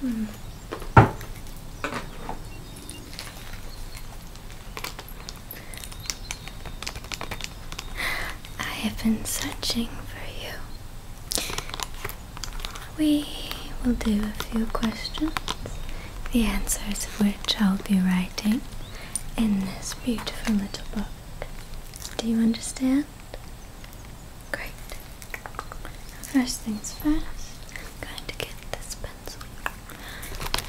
Hmm. I have been searching for you. We will do a few questions, the answers of which I'll be writing in this beautiful little book. Do you understand? Great. First things first, I'm going to get this pencil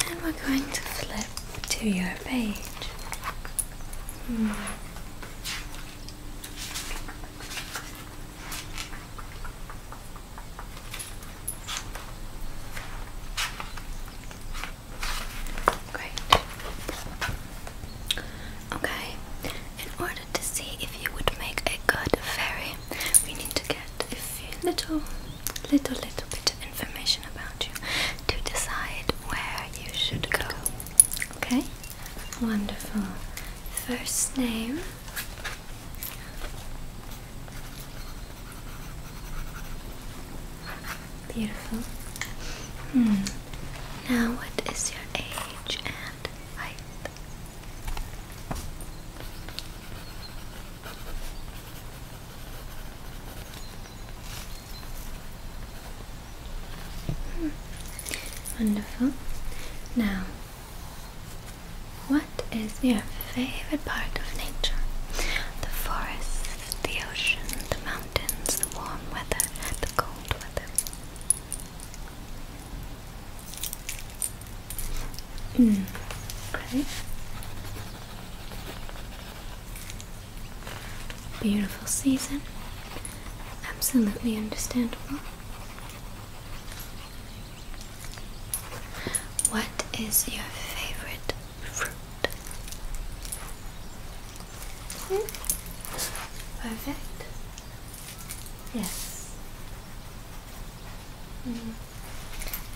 and we're going to flip to your page. Hmm. Great. Okay, in order to see if you would make a good fairy, we need to get a few little, little, little bit of information about you to decide where you should go. Okay? Wonderful. First name. Beautiful. Hmm. Now, what is your age and height? Hmm. Wonderful. Now, what is your favorite part of nature? The forest, the ocean, the mountains, the warm weather, the cold weather. Mm. Great. Beautiful season. Absolutely understandable. What is your favorite Perfect. Yes.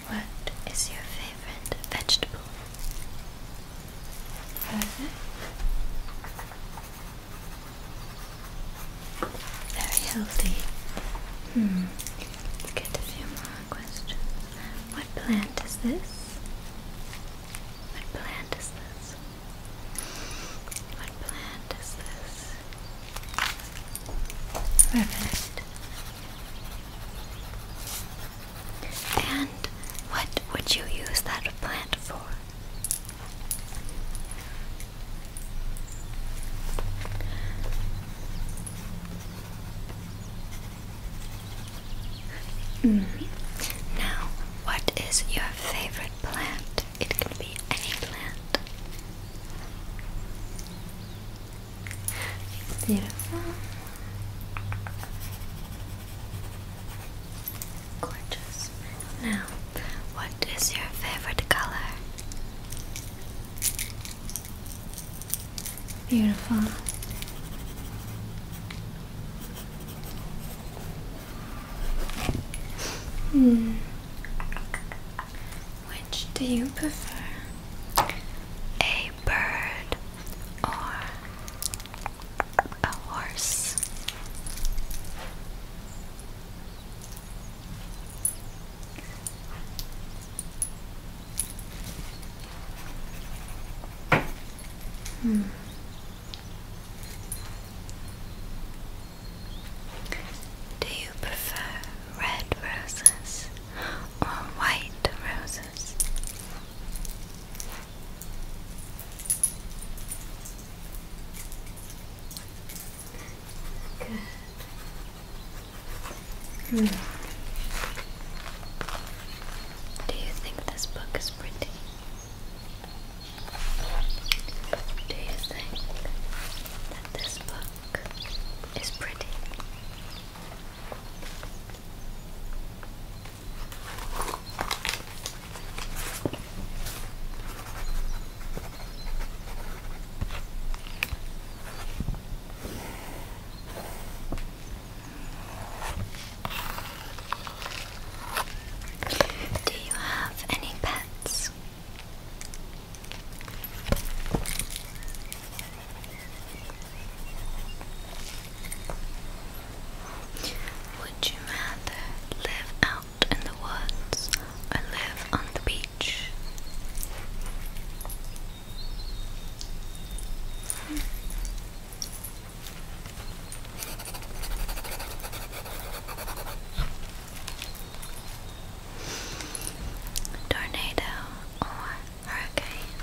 What is your favorite vegetable? Perfect. Very healthy. Hmm. get a few more questions. What plant is this? What plant is this? What plant is this? Perfect. And what would you use that plant for? Mm. Now, what is your favorite plant? It can be any plant. Beautiful. Gorgeous. Now, what is your favorite color? Beautiful. Hmm. Which do you prefer? A bird or a horse? Hmm. Do you prefer red roses or white roses? Good. Hmm. Do you think this book is pretty? Do you think that this book is pretty? Do you have any pets? Would you rather live out in the woods or live on the beach? Tornado or hurricane.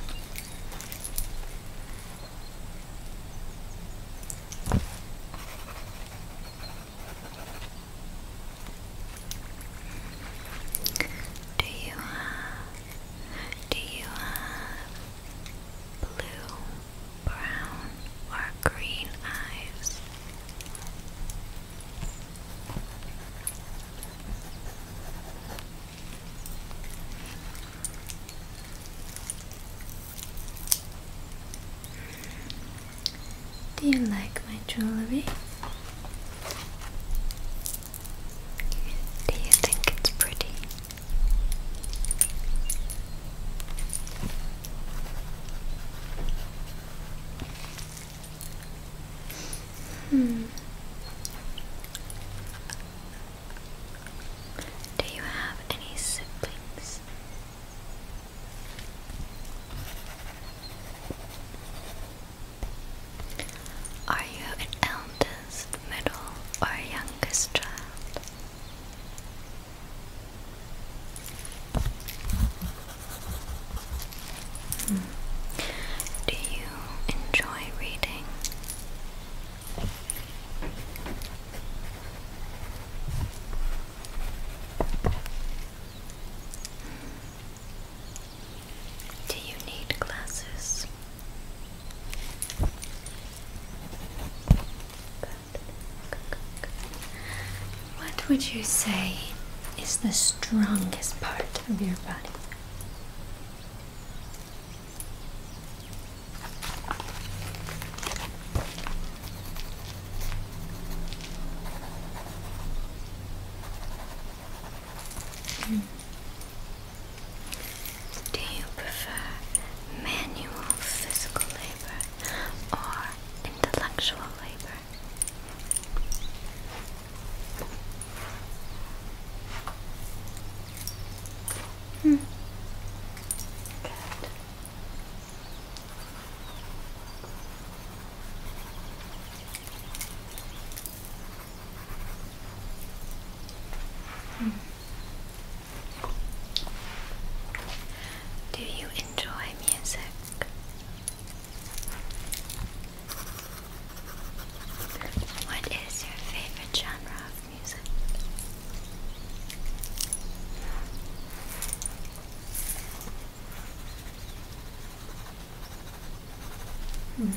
Do you have, do you have blue, brown, or green eyes? Do you like my jewelry? Do you think it's pretty? Hmm. Do you have any siblings? Are you an eldest, middle, or youngest child? Hmm. Do you enjoy reading? Hmm. Do you need glasses? What would you say is the strongest part of your body? Do you prefer manual physical labor or intellectual labor? Hmm. Good. Do you enjoy music? What is your favorite genre of music? Hmm.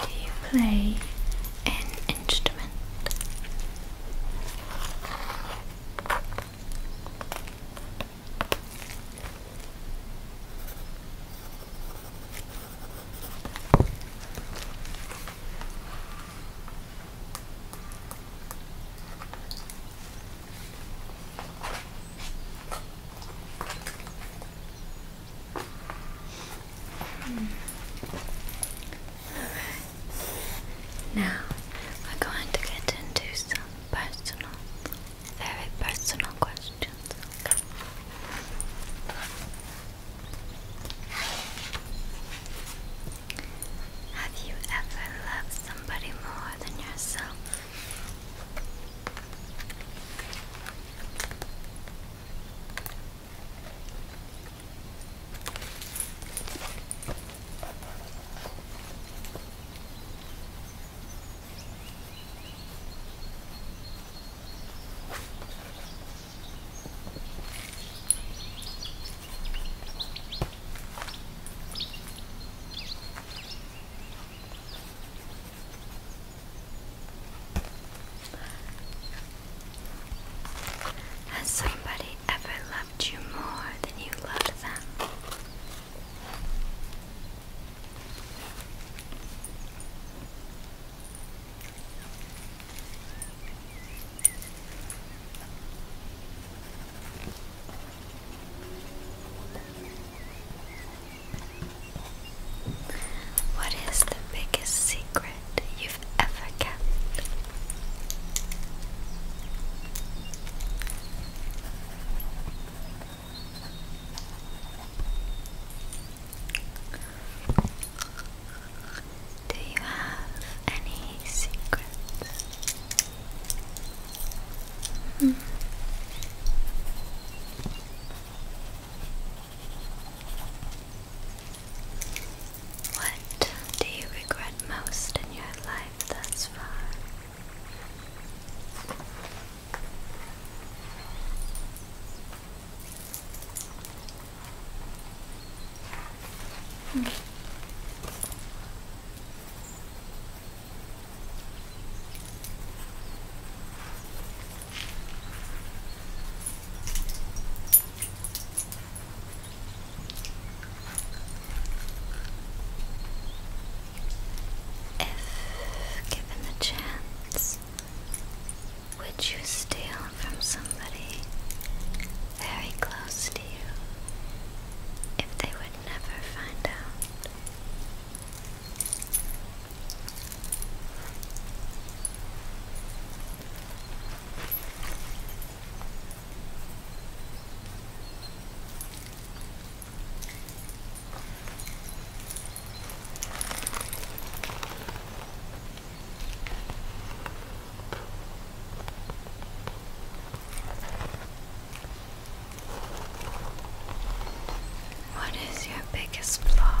Do you play an instrument? Now we're going to get into some personal, very personal questions. Have you ever loved somebody more than yourself? Has somebody ever loved you more than you loved them? What is the biggest secret you've ever kept? Do you have any secrets? Hmm. What do you regret most in your life thus far? If given the chance, would you steal from somebody very close to you if they would never find out. What is your biggest flaw?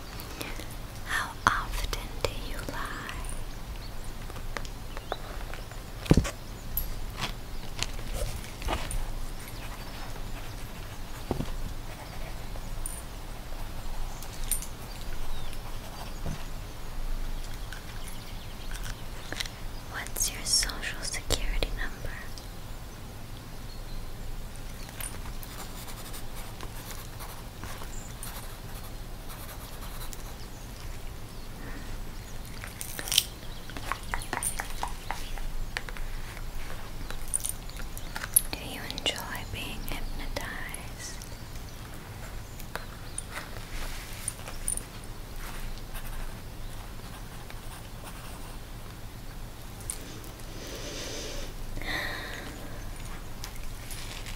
How often do you lie? What's your social security number? Do you enjoy being hypnotized?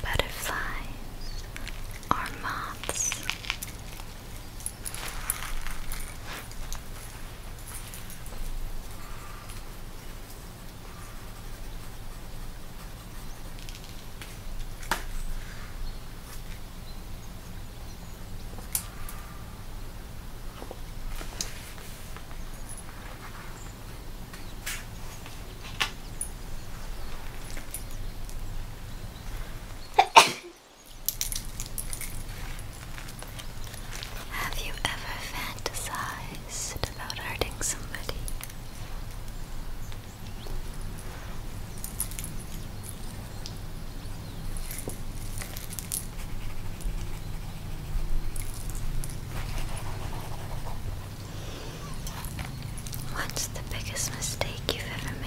Butterflies are moths. Have you ever fantasized about hurting somebody? What's the biggest mistake you've ever made?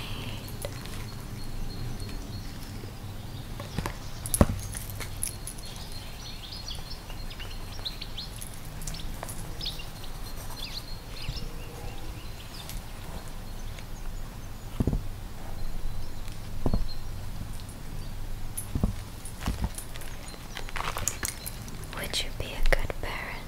Would you be a good parent?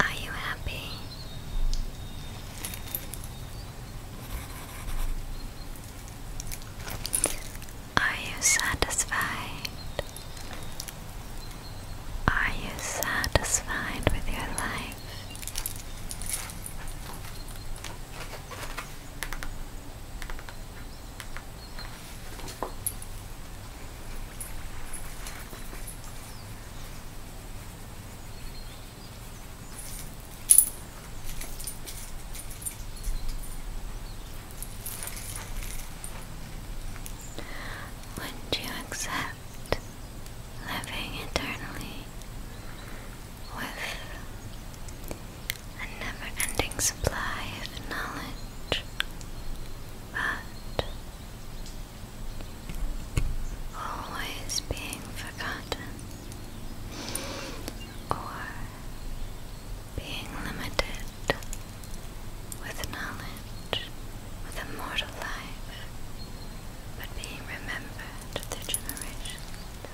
Are you happy? Are you satisfied? Are you satisfied with your life? Would you accept living eternally with a never-ending supply of knowledge, but always being forgotten or being limited with knowledge, with a mortal life, but being remembered through generations.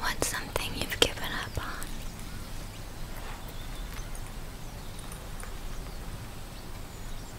What's something you've given up on?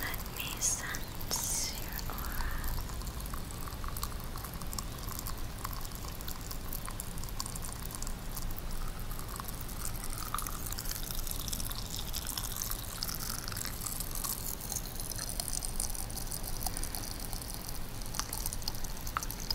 Let me sense your aura.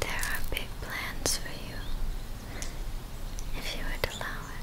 There are big plans for you, if you would allow it.